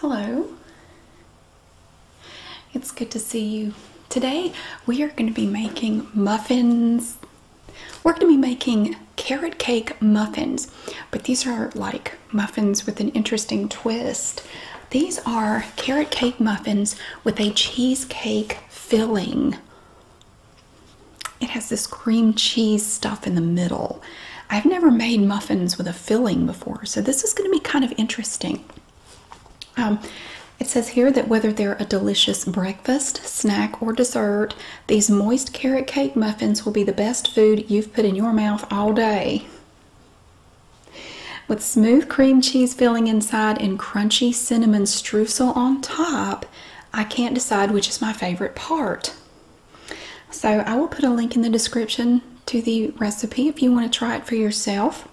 Hello. It's good to see you. Today we are going to be making muffins. We're going to be making carrot cake muffins, but these are like muffins with an interesting twist. These are carrot cake muffins with a cheesecake filling. It has this cream cheese stuff in the middle. I've never made muffins with a filling before, so this is going to be kind of interesting. Um, it says here that whether they're a delicious breakfast, snack, or dessert, these moist carrot cake muffins will be the best food you've put in your mouth all day. With smooth cream cheese filling inside and crunchy cinnamon streusel on top, I can't decide which is my favorite part. So I will put a link in the description to the recipe if you want to try it for yourself.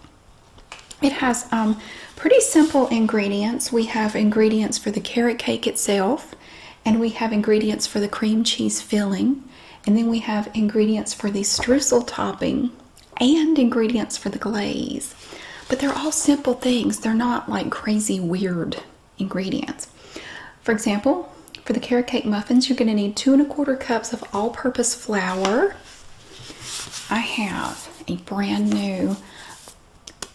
It has um, pretty simple ingredients. We have ingredients for the carrot cake itself, and we have ingredients for the cream cheese filling, and then we have ingredients for the streusel topping and ingredients for the glaze. But they're all simple things. They're not like crazy weird ingredients. For example, for the carrot cake muffins, you're going to need two and a quarter cups of all purpose flour. I have a brand new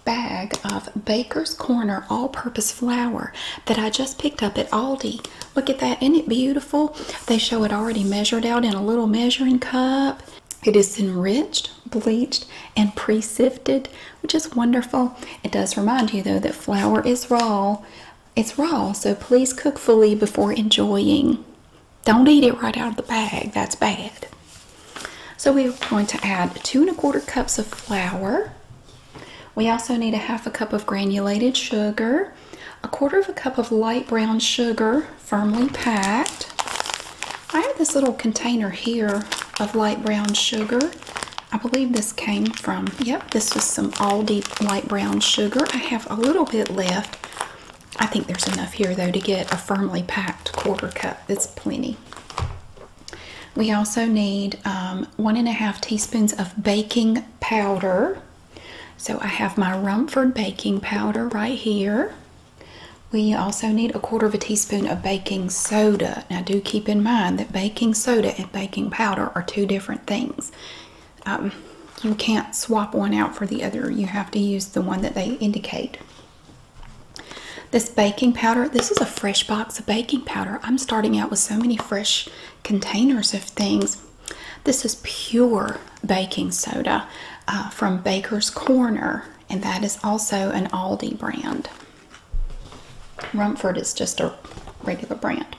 bag of Baker's Corner all purpose flour that I just picked up at Aldi. Look at that, isn't it beautiful? They show it already measured out in a little measuring cup. It is enriched, bleached, and pre sifted, which is wonderful. It does remind you, though, that flour is raw it's raw, so please cook fully before enjoying. Don't eat it right out of the bag, that's bad. So we're going to add two and a quarter cups of flour. We also need a half a cup of granulated sugar, a quarter of a cup of light brown sugar, firmly packed. I have this little container here of light brown sugar. I believe this came from, yep, this is some all deep light brown sugar. I have a little bit left. I think there's enough here though to get a firmly packed quarter cup. It's plenty. We also need um, one and a half teaspoons of baking powder. So I have my Rumford baking powder right here. We also need a quarter of a teaspoon of baking soda. Now do keep in mind that baking soda and baking powder are two different things. Um, you can't swap one out for the other. You have to use the one that they indicate. This baking powder, this is a fresh box of baking powder. I'm starting out with so many fresh containers of things. This is pure baking soda uh, from Baker's Corner, and that is also an Aldi brand. Rumford is just a regular brand.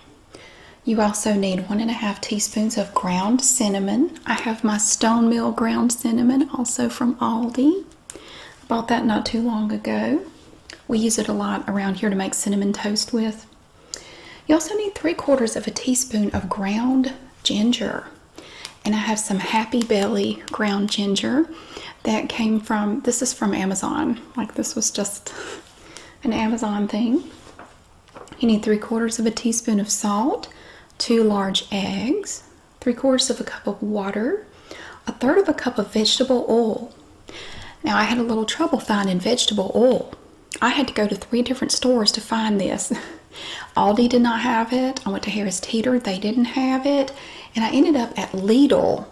You also need one and a half teaspoons of ground cinnamon. I have my Stone Mill ground cinnamon also from Aldi. bought that not too long ago. We use it a lot around here to make cinnamon toast with. You also need three quarters of a teaspoon of ground ginger. And I have some Happy Belly ground ginger that came from, this is from Amazon. Like this was just an Amazon thing. You need three quarters of a teaspoon of salt, two large eggs, three quarters of a cup of water, a third of a cup of vegetable oil. Now, I had a little trouble finding vegetable oil. I had to go to three different stores to find this. Aldi did not have it. I went to Harris Teeter, they didn't have it. And I ended up at Lidl.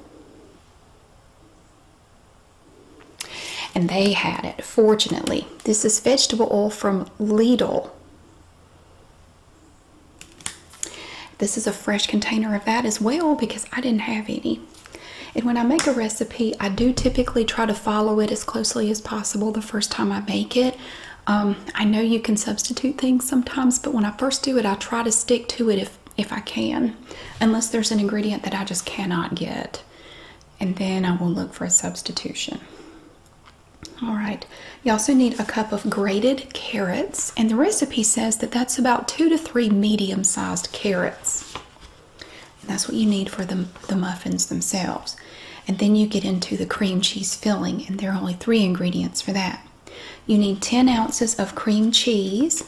And they had it, fortunately. This is vegetable oil from Lidl. This is a fresh container of that as well because I didn't have any. And when I make a recipe, I do typically try to follow it as closely as possible the first time I make it. Um, I know you can substitute things sometimes, but when I first do it, I try to stick to it if, if I can, unless there's an ingredient that I just cannot get and then I will look for a substitution. All right, you also need a cup of grated carrots, and the recipe says that that's about two to three medium sized carrots. that's what you need for the, the muffins themselves. And then you get into the cream cheese filling, and there are only three ingredients for that. You need 10 ounces of cream cheese,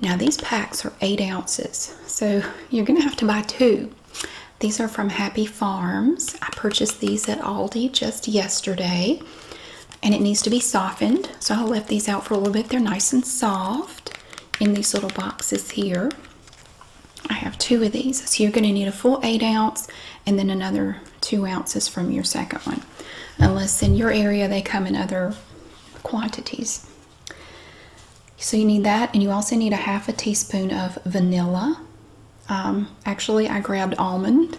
now these packs are eight ounces, so you're gonna have to buy two. These are from Happy Farms. I purchased these at Aldi just yesterday, and it needs to be softened. So I left these out for a little bit. They're nice and soft in these little boxes here. I have two of these, so you're gonna need a full eight ounce and then another two ounces from your second one. Unless in your area they come in other quantities. So you need that, and you also need a half a teaspoon of vanilla. Um, actually, I grabbed almond,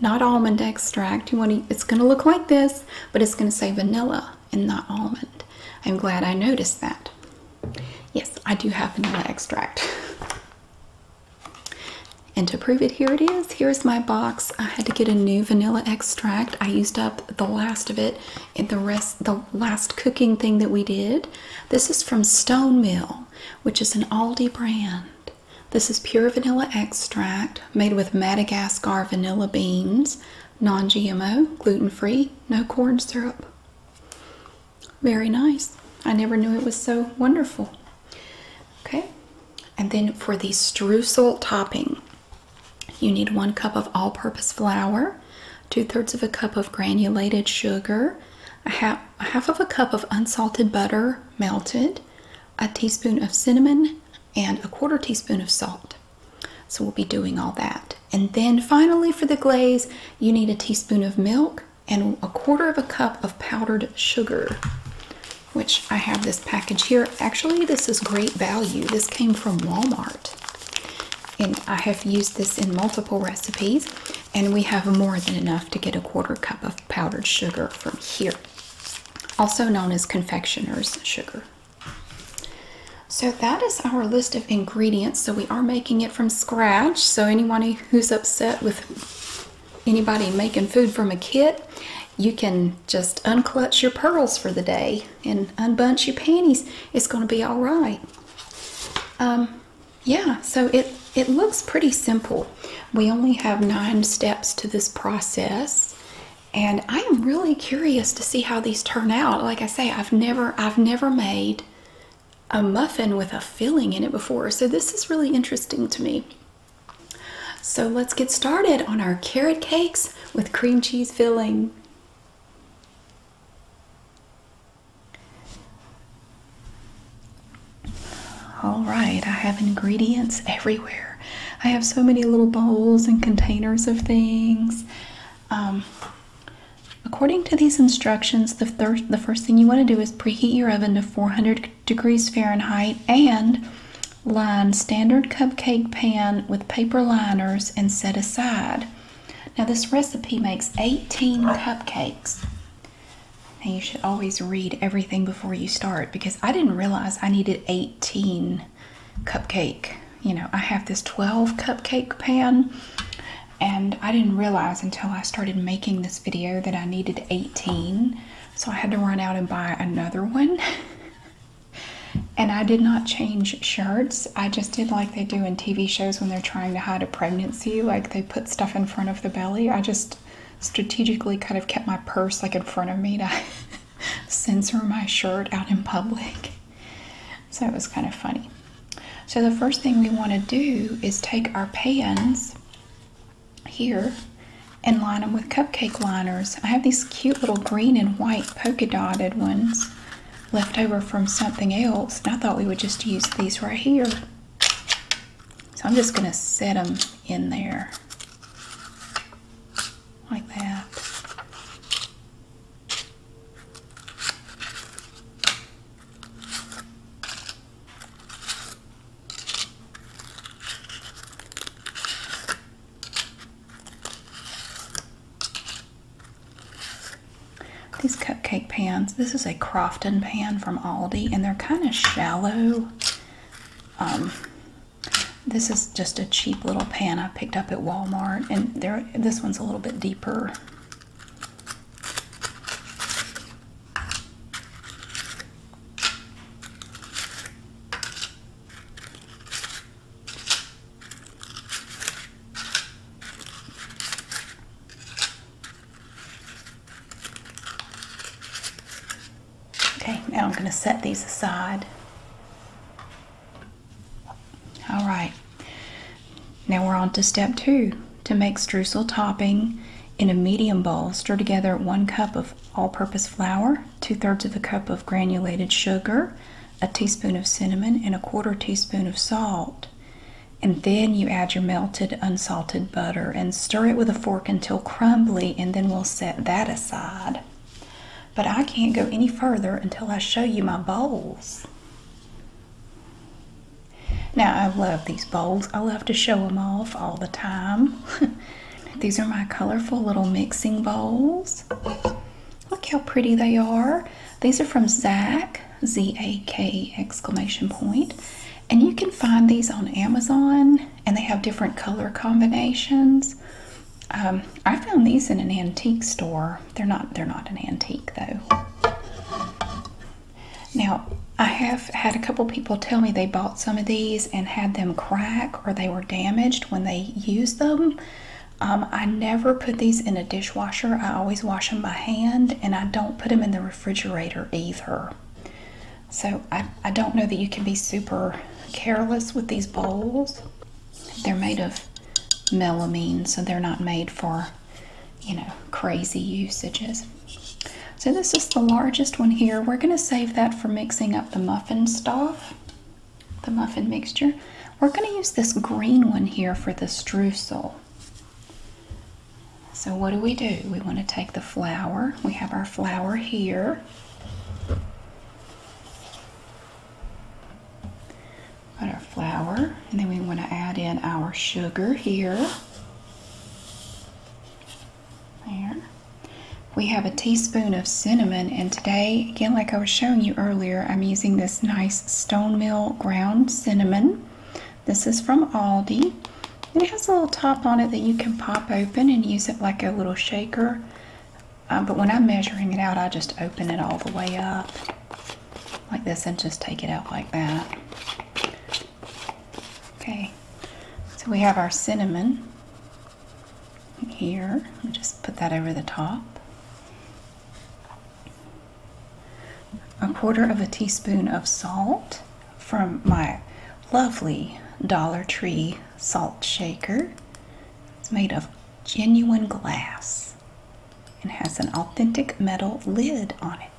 not almond extract. You want to, it's going to look like this, but it's going to say vanilla and not almond. I'm glad I noticed that. Yes, I do have vanilla extract. And to prove it, here it is. Here's my box. I had to get a new vanilla extract. I used up the last of it and the rest the last cooking thing that we did. This is from Stone Mill, which is an Aldi brand. This is pure vanilla extract made with Madagascar vanilla beans, non-GMO, gluten-free, no corn syrup. Very nice. I never knew it was so wonderful. Okay. And then for the streusel topping, you need one cup of all purpose flour, two thirds of a cup of granulated sugar, a half, a of a cup of unsalted butter melted, a teaspoon of cinnamon, and a quarter teaspoon of salt. So we'll be doing all that. And then finally, for the glaze, you need a teaspoon of milk and a quarter of a cup of powdered sugar, which I have this package here. Actually, this is great value. This came from Walmart. And I have used this in multiple recipes, and we have more than enough to get a quarter cup of powdered sugar from here, also known as confectioner's sugar. So, that is our list of ingredients. So, we are making it from scratch. So, anyone who's upset with anybody making food from a kit, you can just unclutch your pearls for the day and unbunch your panties, it's going to be all right. Um, yeah, so it it looks pretty simple. We only have nine steps to this process, and I am really curious to see how these turn out. Like I say, I've never I've never made a muffin with a filling in it before, so this is really interesting to me. So let's get started on our carrot cakes with cream cheese filling. All right, I have ingredients everywhere. I have so many little bowls and containers of things. Um, according to these instructions, the first thing you want to do is preheat your oven to 400 degrees Fahrenheit and line standard cupcake pan with paper liners and set aside. Now, this recipe makes 18 cupcakes. And you should always read everything before you start because I didn't realize I needed 18 cupcake. You know, I have this 12 cupcake pan and I didn't realize until I started making this video that I needed 18. So I had to run out and buy another one. And I did not change shirts. I just did like they do in TV shows when they're trying to hide a pregnancy, like they put stuff in front of the belly. I just strategically kind of kept my purse like in front of me to censor my shirt out in public. So it was kind of funny. So the first thing we want to do is take our pans here and line them with cupcake liners. I have these cute little green and white polka dotted ones Leftover from something else. I thought we would just use these right here. So I'm just going to set them in there like that. These cupcake pans, this is a Crofton pan from Aldi, and they're kind of shallow. Um, this is just a cheap little pan I picked up at Walmart, and there this one's a little bit deeper. Okay, now I'm going to set these aside. All right, now we're on to step two. To make streusel topping in a medium bowl, stir together one cup of all purpose flour, two thirds of a cup of granulated sugar, a teaspoon of cinnamon, and a quarter teaspoon of salt. And then you add your melted unsalted butter and stir it with a fork until crumbly, and then we'll set that aside. But I can't go any further until I show you my bowls. Now, I love these bowls. I love to show them off all the time. these are my colorful little mixing bowls. Look how pretty they are. These are from Zach, Z-A-K exclamation And you can find these on Amazon and they have different color combinations. Um, I found these in an antique store. They're not they're not an antique though. Now I have had a couple people tell me they bought some of these and had them crack or they were damaged when they used them. Um, I never put these in a dishwasher. I always wash them by hand, and I don't put them in the refrigerator either. So I don't know that you can be super careless with these bowls. They're made of melamine, so they're not made for, you know, crazy usages. So this is the largest one here. We're going to save that for mixing up the muffin stuff the muffin mixture. We're going to use this green one here for the streusel. So what do we do? We want to take the flour. We have our flour here. Got our flour, and then we want to add in our sugar here. There. We have a teaspoon of cinnamon and again, like I was showing you earlier, I'm using this nice Stone Mill ground cinnamon. This is from Aldi. it has a little top on it that you can pop open and use it like a little shaker. Uh, but when I'm measuring it out, I just open it all the way up like this and just take it out like that. Okay, so we have our cinnamon here. just put that over the top. A quarter of a teaspoon of salt from my lovely Dollar Tree salt shaker. It's made of genuine glass and has an authentic metal lid on it.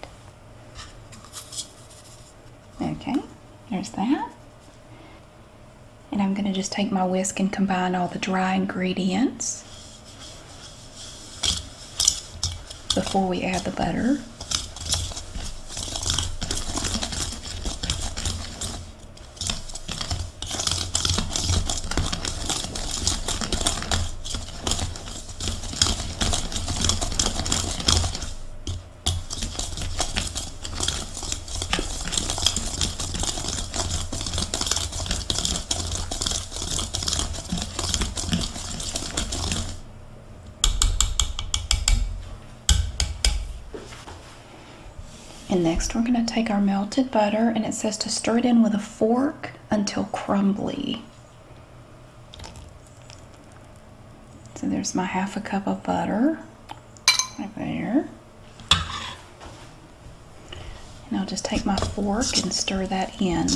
Okay, there's that. And I'm going to just take my whisk and combine all the dry ingredients before we add the butter. And next we're going to take our melted butter and it says to stir it in with a fork until crumbly. So there's my half a cup of butter right there. And I'll just take my fork and stir that in.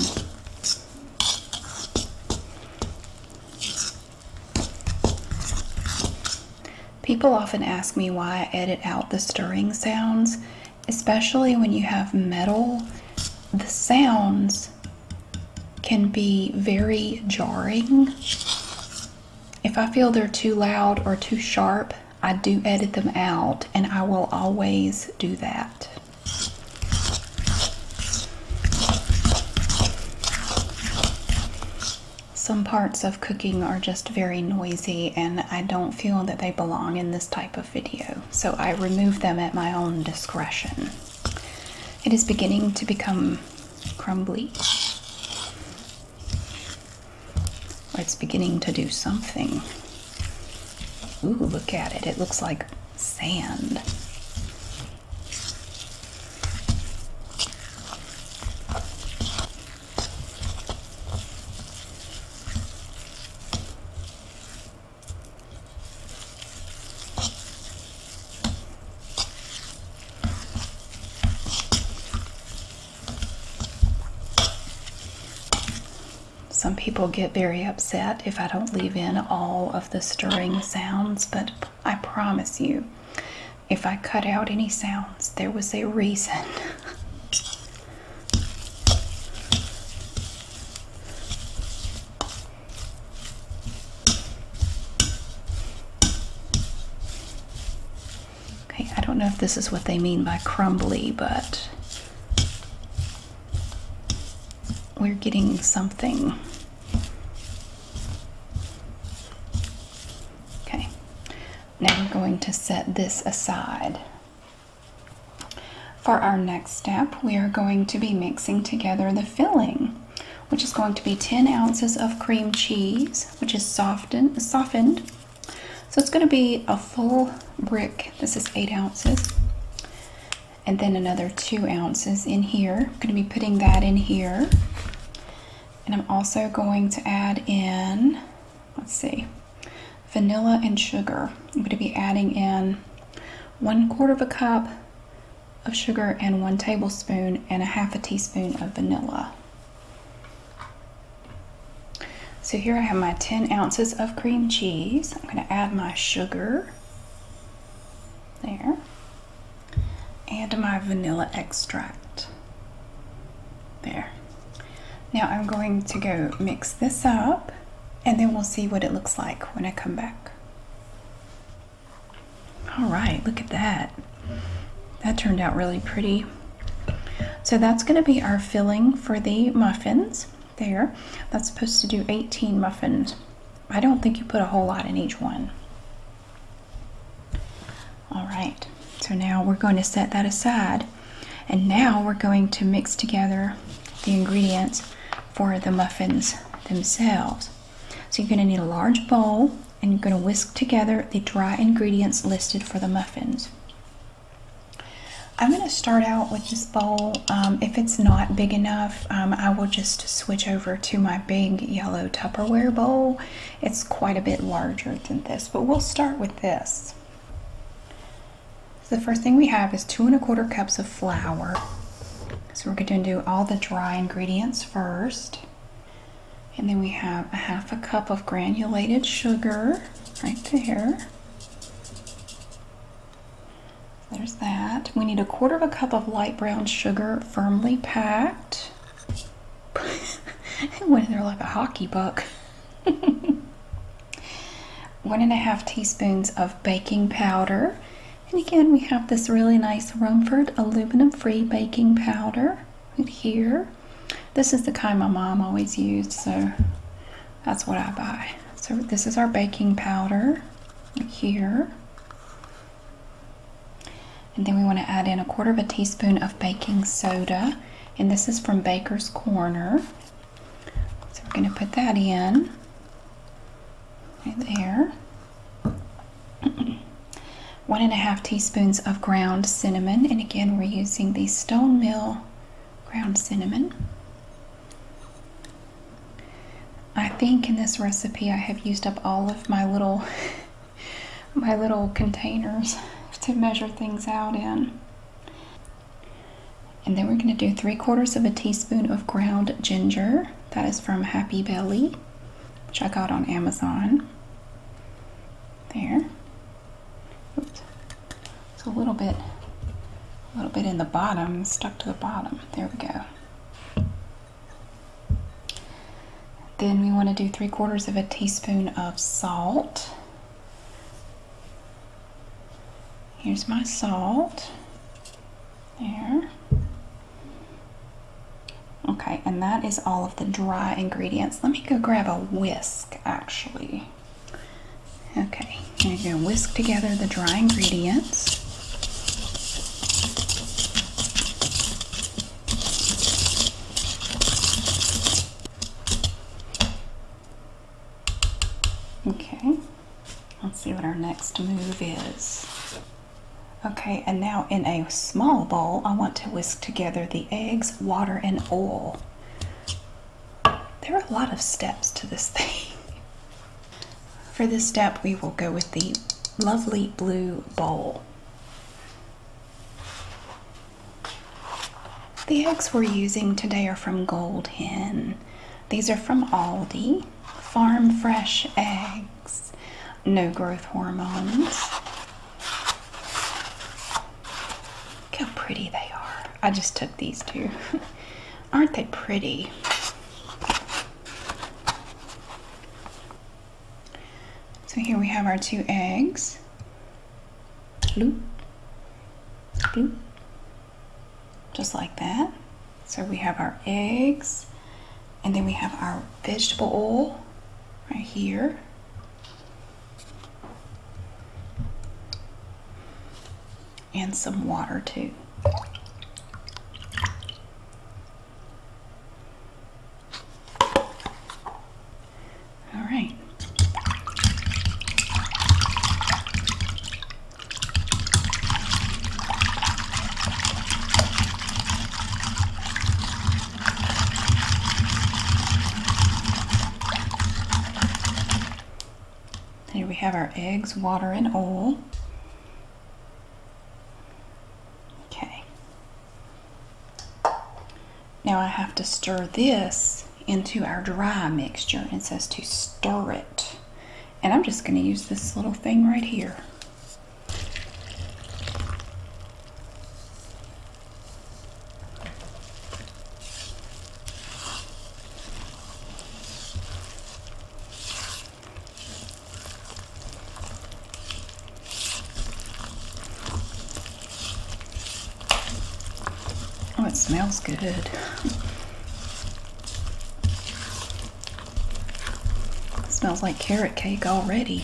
People often ask me why I edit out the stirring sounds, especially when you have metal. The sounds can be very jarring. If I feel they're too loud or too sharp, I do edit them out, and I will always do that. Some parts of cooking are just very noisy, and I don't feel that they belong in this type of video, so I remove them at my own discretion. It is beginning to become crumbly it's beginning to do something. Ooh, look at it. It looks like sand. Some people get very upset if I don't leave in all of the stirring sounds, but I promise you, if I cut out any sounds, there was a reason. Okay, I don't know if this is what they mean by crumbly, but we're getting something. Okay, now we're going to set this aside. For our next step, we are going to be mixing together the filling, which is going to be 10 ounces of cream cheese, which is softened, softened so it's going to be a full brick. This is eight ounces. And then another two ounces in here. I'm going to be putting that in here. And I'm also going to add in, let's see, vanilla and sugar. I'm going to be adding in one quarter of a cup of sugar and one tablespoon and a half a teaspoon of vanilla. So here I have my 10 ounces of cream cheese. I'm going to add my sugar there and my vanilla extract there. Now I'm going to go mix this up and then we'll see what it looks like when I come back. All right, look at that. That turned out really pretty. So that's going to be our filling for the muffins there. That's supposed to do 18 muffins. I don't think you put a whole lot in each one. All right, so now we're going to set that aside. And now we're going to mix together the ingredients for the muffins themselves. So you're going to need a large bowl and you're going to whisk together the dry ingredients listed for the muffins. I'm going to start out with this bowl. Um, if it's not big enough, um, I will just switch over to my big yellow Tupperware bowl. It's quite a bit larger than this, but we'll start with this. the first thing we have is two and a quarter cups of flour. So we're going to do all the dry ingredients first. And then we have a half a cup of granulated sugar right there. There's that. We need a quarter of a cup of light brown sugar firmly packed. it went in there like a hockey puck. One and a half teaspoons of baking powder. And again, we have this really nice Rumford aluminum free baking powder right here. This is the kind my mom always used, so that's what I buy. So this is our baking powder here. And then we want to add in a quarter of a teaspoon of baking soda. And this is from Baker's Corner. So we're going to put that in right there. One and a half teaspoons of ground cinnamon, and again, we're using the Stone Mill ground cinnamon. I think in this recipe I have used up all of my little my little containers to measure things out in. And then we're going to do three quarters of a teaspoon of ground ginger. That is from Happy Belly, which I got on Amazon. There. It's a little bit, a little bit in the bottom, stuck to the bottom. There we go. Then we want to do three quarters of a teaspoon of salt. Here's my salt. There. Okay, and that is all of the dry ingredients. Let me go grab a whisk, actually. Okay. Okay, you're going to whisk together the dry ingredients. Okay, let's see what our next move is. Okay, and now in a small bowl, I want to whisk together the eggs, water, and oil. There are a lot of steps to this thing. For this step, we will go with the lovely blue bowl. The eggs we're using today are from Gold Hen. These are from Aldi. Farm fresh eggs, no growth hormones how pretty they are. I just took these two. Aren't they pretty? So here we have our two eggs. Bloop. Bloop. Just like that. So we have our eggs. And then we have our vegetable oil right here and some water too. All right. Here we have our eggs, water, and oil. Okay. Now I have to stir this into our dry mixture. It says to stir it. And I'm just going to use this little thing right here. Oh, it smells good. smells like carrot cake already.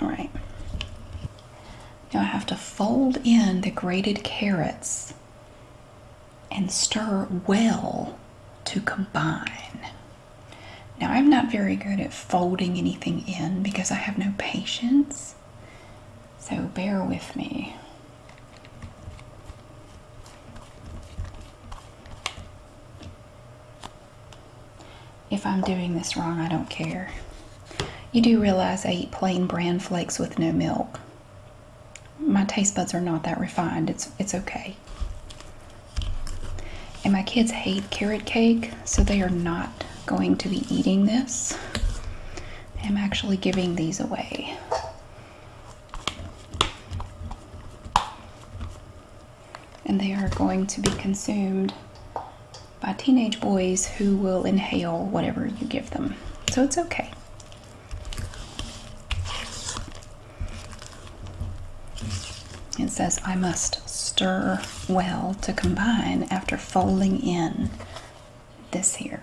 All right. Now I have to fold in the grated carrots and stir well to combine. Now I'm not very good at folding anything in because I have no patience. So bear with me. If I'm doing this wrong, I don't care. You do realize I eat plain bran flakes with no milk. My taste buds are not that refined. It's it's okay. And my kids hate carrot cake, so they are not going to be eating this. I'm actually giving these away. And they are going to be consumed by teenage boys who will inhale whatever you give them. So it's okay. It says, I must stir well to combine after folding in this here.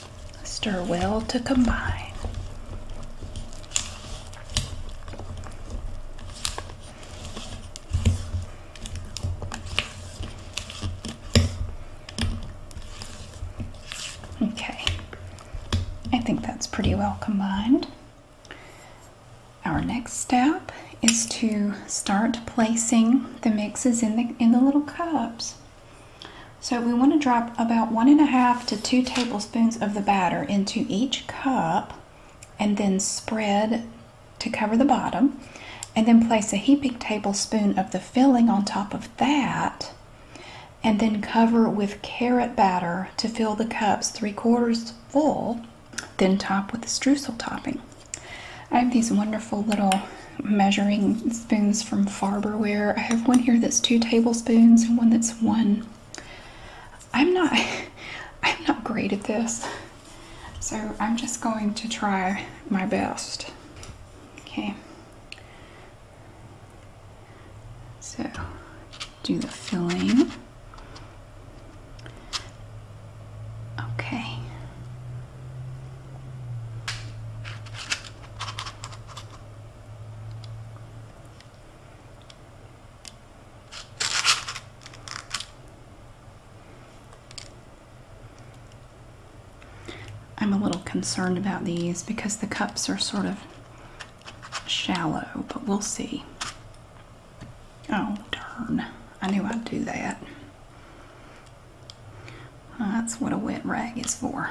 Stir well to combine. Okay, I think that's pretty well combined. Our next step is to start placing the mixes in the in the little cups. So we want to drop about one and a half to two tablespoons of the batter into each cup and then spread to cover the bottom and then place a heaping tablespoon of the filling on top of that and then cover with carrot batter to fill the cups three quarters full then top with the streusel topping. I have these wonderful little measuring spoons from Farberware. I have one here that's two tablespoons Spoons and one that's one. I'm not I'm not great at this. So I'm just going to try my best. Okay. So do the filling. Okay. I'm a little concerned about these because the cups are sort of shallow, but we'll see. Oh, darn. I knew I'd do that. that's what a wet rag is for.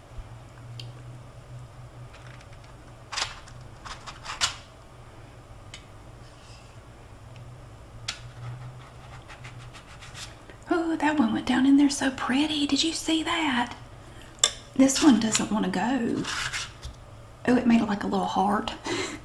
Oh, that one went down in there so pretty. Did you see that? This one doesn't want to go. Oh, it made like a little heart.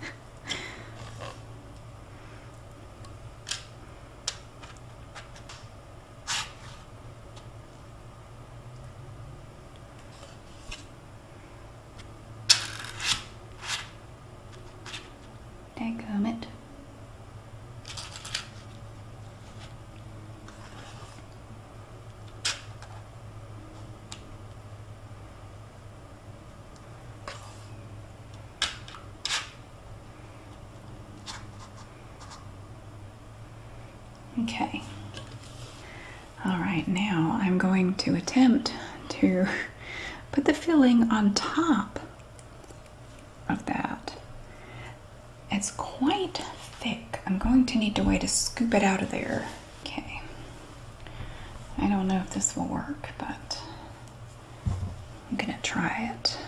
Dadgummit. Okay. All right, now I'm going to attempt to put the filling on top of that. It's quite thick. I'm going to need a way to scoop it out of there. Okay. I don't know if this will work, but I'm gonna try it.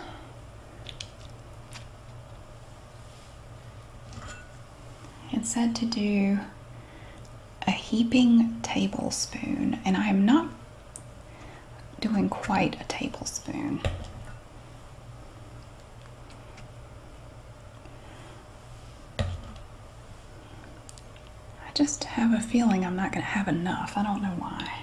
It said to do a heaping tablespoon, and I am not doing quite a tablespoon. I just have a feeling I'm not going to have enough. I don't know why.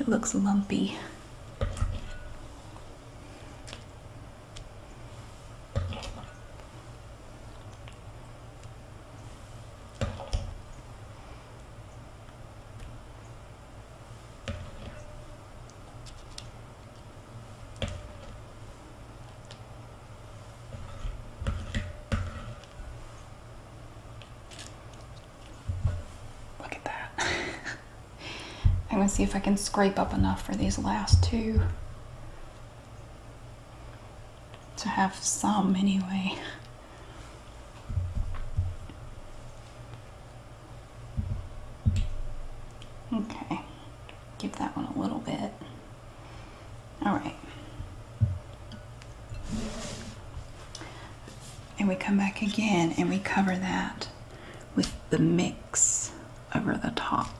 It looks lumpy. Look at that. I'm gonna see if I can scrape up enough for these last two to have some anyway. Okay give that one a little bit. All right. And we come back again and we cover that with the mix over the top.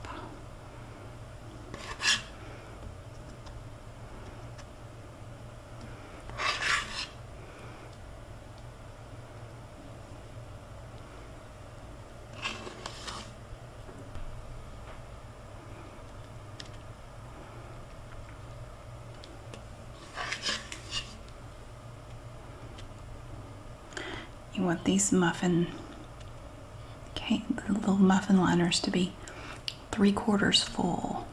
You want these muffin, okay, little muffin liners to be three quarters full.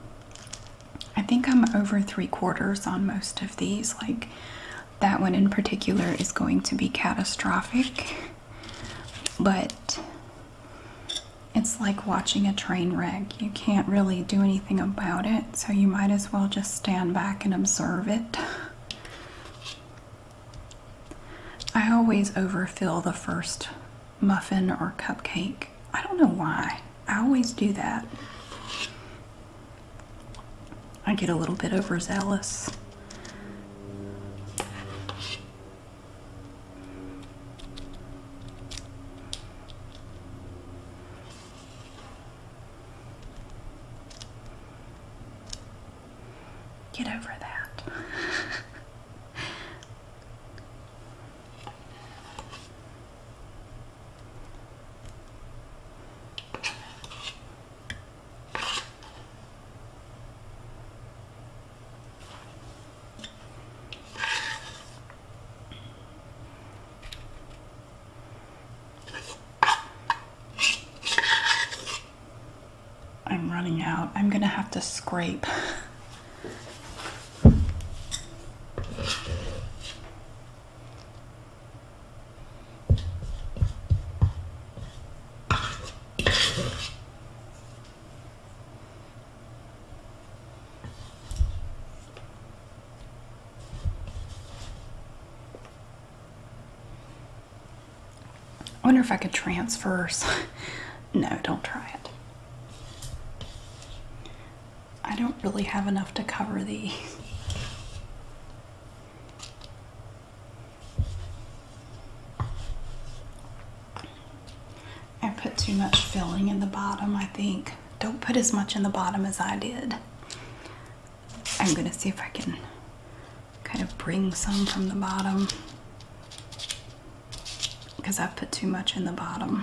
I think I'm over three quarters on most of these. Like that one in particular is going to be catastrophic, but it's like watching a train wreck. You can't really do anything about it, so you might as well just stand back and observe it. I always overfill the first muffin or cupcake. I don't know why. I always do that. I get a little bit overzealous. Get over that. I'm running out. I'm going to have to scrape. I wonder if I could transfer. no, don't try it. I don't really have enough to cover these. I put too much filling in the bottom, I think. Don't put as much in the bottom as I did. I'm gonna see if I can kind of bring some from the bottom because I put too much in the bottom.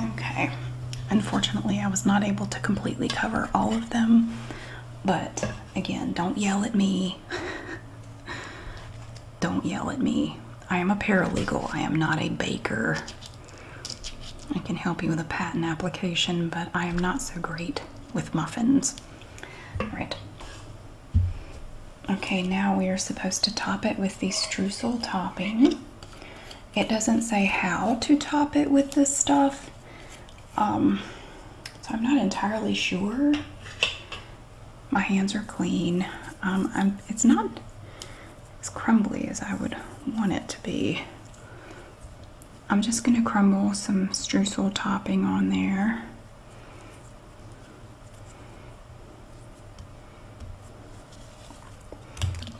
Okay, unfortunately I was not able to completely cover all of them, but again, don't yell at me. don't yell at me. I am a paralegal. I am not a baker. I can help you with a patent application, but I am not so great with muffins. All right. Okay, now we are supposed to top it with the streusel topping. It doesn't say how to top it with this stuff, um, so I'm not entirely sure. My hands are clean. Um, it's not as crumbly as I would want it to be. I'm just going to crumble some streusel topping on there.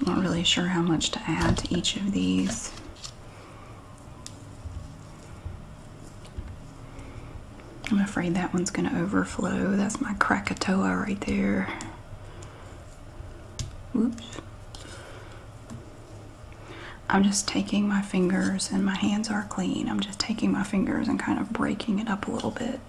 Not really sure how much to add to each of these. I'm afraid that one's going to overflow. That's my Krakatoa right there. Whoops. I'm just taking my fingers, and my hands are clean. I'm just taking my fingers and kind of breaking it up a little bit.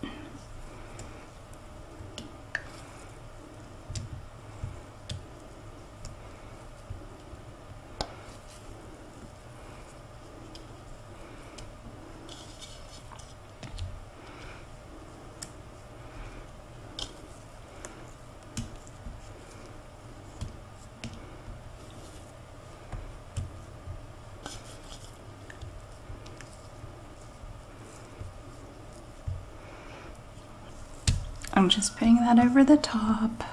I'm just putting that over the top.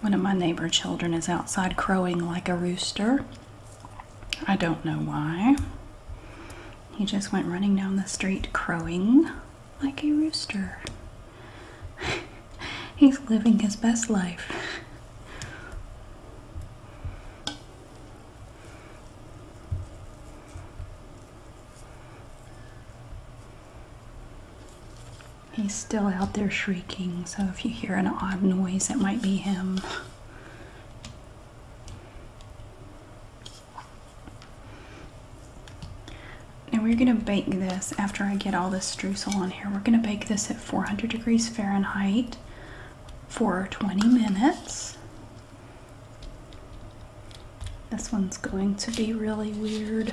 One of my neighbor children is outside crowing like a rooster. I don't know why. He just went running down the street crowing like a rooster. He's living his best life. He's still out there shrieking, so if you hear an odd noise, it might be him. Now we're going to bake this after I get all this streusel on here. We're going to bake this at 400 degrees Fahrenheit for 20 minutes. This one's going to be really weird.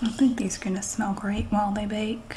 I think these are going to smell great while they bake.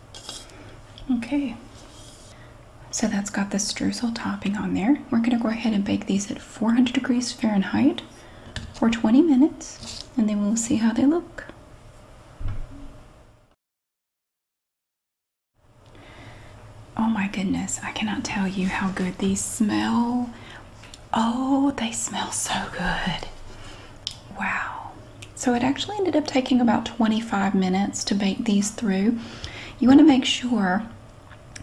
Okay, so that's got the streusel topping on there. We're going to go ahead and bake these at 400 degrees Fahrenheit for 20 minutes, and then we'll see how they look. Oh my goodness, I cannot tell you how good these smell. Oh, they smell so good. Wow. So it actually ended up taking about 25 minutes to bake these through. You want to make sure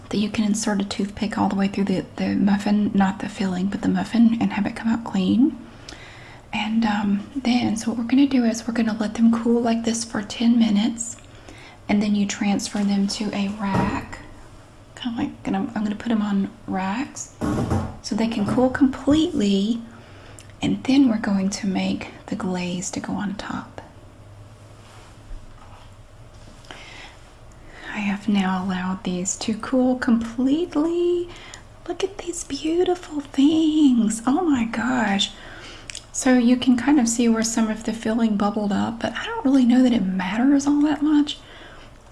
that you can insert a toothpick all the way through the, the muffin, not the filling, but the muffin, and have it come out clean. And um, then, so what we're going to do is we're going to let them cool like this for 10 minutes, and then you transfer them to a rack. Kind of like, I'm going to put them on racks so they can cool completely and then we're going to make the glaze to go on top. I have now allowed these to cool completely. Look at these beautiful things. Oh my gosh. So you can kind of see where some of the filling bubbled up, but I don't really know that it matters all that much.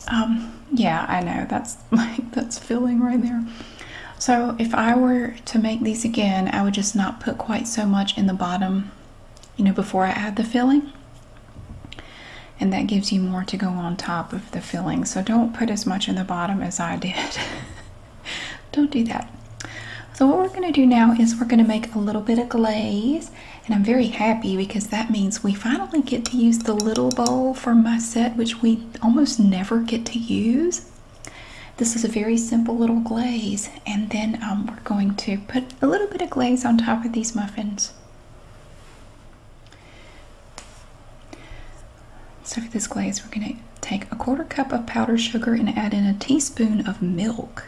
Um, yeah, I know that's like that's filling right there. So if I were to make these again, I would just not put quite so much in the bottom, you know, before I add the filling. And that gives you more to go on top of the filling. So don't put as much in the bottom as I did. don't do that. So what we're gonna do now is we're gonna make a little bit of glaze and I'm very happy because that means we finally get to use the little bowl for my set, which we almost never get to use. This is a very simple little glaze, and then um, we're going to put a little bit of glaze on top of these muffins. So for this glaze, we're going to take a quarter cup of powdered sugar and add in a teaspoon of milk.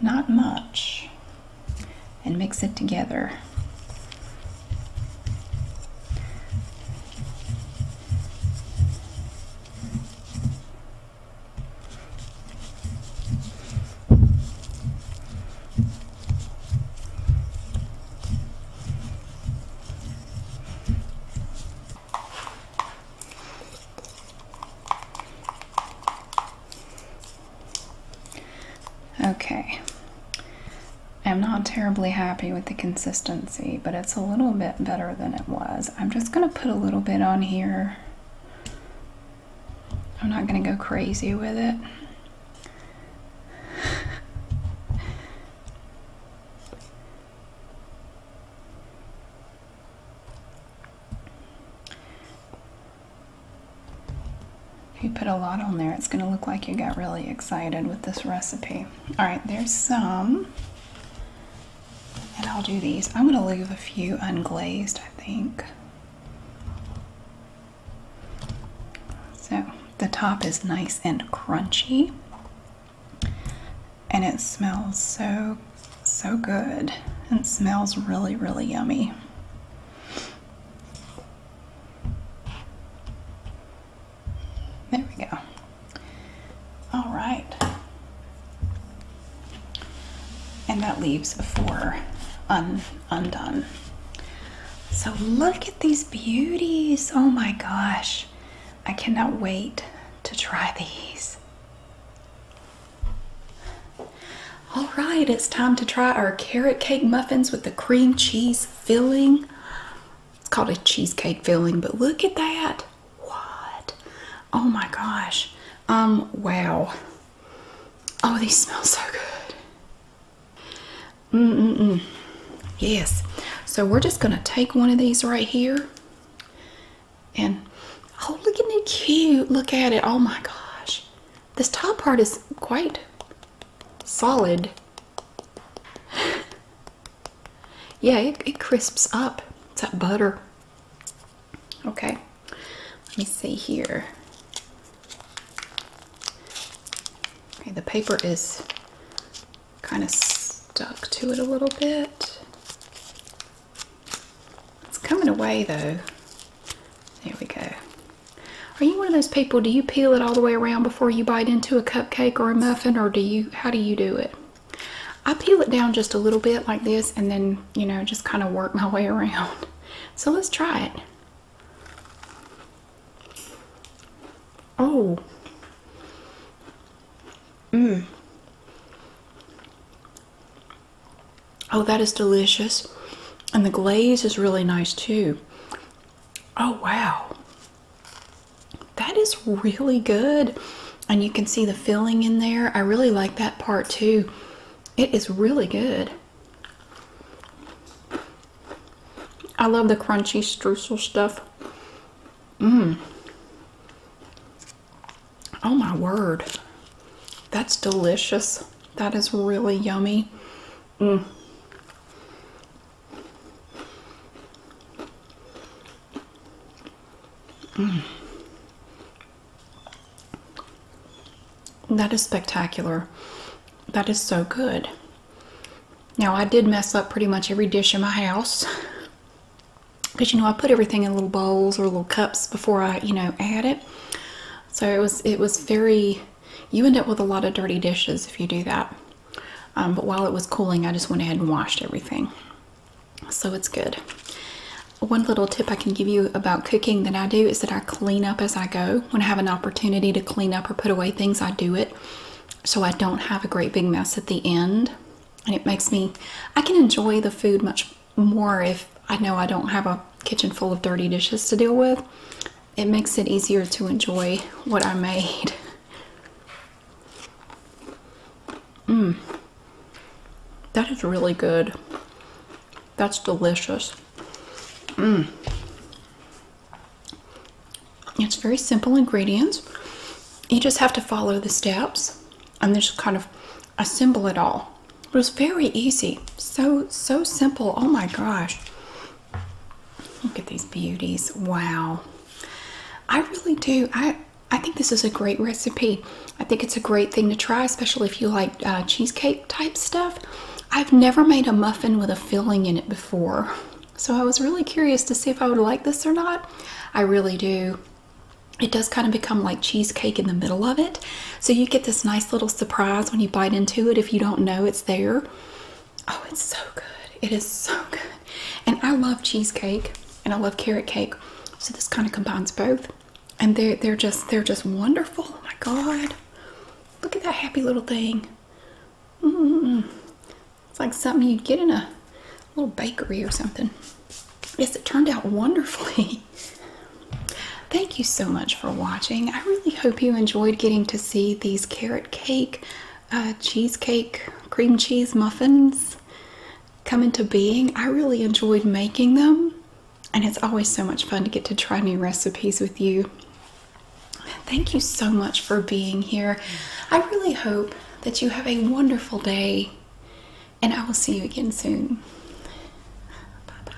Not much. And mix it together. Okay. I'm not terribly happy with the consistency consistency, but it's a little bit better than it was. I'm just going to put a little bit on here. I'm not going to go crazy with it. If you put a lot on there, it's going to look like you got really excited with this recipe. All right, there's some. And I'll do these. I'm going to leave a few unglazed, I think. So the top is nice and crunchy. And it smells so, so good. It smells really, really yummy. There we go. All right. And that leaves four undone. So look at these beauties. Oh my gosh. I cannot wait to try these. All right, it's time to try our carrot cake muffins with the cream cheese filling. It's called a cheesecake filling, but look at that. What? Oh my gosh. Um, wow. Oh, these smell so good. Mm mm mm. Yes. So we're just gonna take one of these right here. And oh, look at it cute. Look at it. Oh my gosh. This top part is quite solid. Yeah, it, crisps up. It's that butter. Okay, let me see here. Okay, the paper is kind of stuck to it a little bit. It's coming away though. There we go. Are you one of those people, do you peel it all the way around before you bite into a cupcake or a muffin or do you, how do you do it? I peel it down just a little bit like this and then, you know, just kind of work my way around. So let's try it. Oh. Mmm. Oh, that is delicious. And the glaze is really nice too. Oh, wow. That is really good. And you can see the filling in there. I really like that part too. It is really good. I love the crunchy streusel stuff. Mmm. Oh my word. That's delicious. That is really yummy. Mm. Mm. That is spectacular. That is so good. Now, I did mess up pretty much every dish in my house. Because, you know, I put everything in little bowls or little cups before I, you know, add it. So it was, it was very, you end up with a lot of dirty dishes if you do that. Um, but while it was cooling, I just went ahead and washed everything. So it's good. One little tip I can give you about cooking that I do is that I clean up as I go. When I have an opportunity to clean up or put away things, I do it. So I don't have a great big mess at the end. And it makes me, I can enjoy the food much more if I know I don't have a kitchen full of dirty dishes to deal with. It makes it easier to enjoy what I made. Mmm. That is really good. That's delicious. Mmm. It's very simple ingredients. You just have to follow the steps and just kind of assemble it all. It was very easy. So, so simple. Oh my gosh. Look at these beauties. Wow. I really do. I, I think this is a great recipe. I think it's a great thing to try, especially if you like uh, cheesecake type stuff. I've never made a muffin with a filling in it before, so I was really curious to see if I would like this or not. I really do. It does kind of become like cheesecake in the middle of it, so you get this nice little surprise when you bite into it if you don't know it's there. Oh, it's so good. It is so good. And I love cheesecake and I love carrot cake. So this kind of combines both. And they're they're just they're just wonderful. Oh my god. Look at that happy little thing. Mm It's like something you'd get in a little bakery or something. Yes, it turned out wonderfully. Thank you so much for watching. I really hope you enjoyed getting to see these carrot cake, uh, cheesecake, cream cheese muffins come into being. I really enjoyed making them, and it's always so much fun to get to try new recipes with you. Thank you so much for being here. I really hope that you have a wonderful day, and I will see you again soon. Bye bye.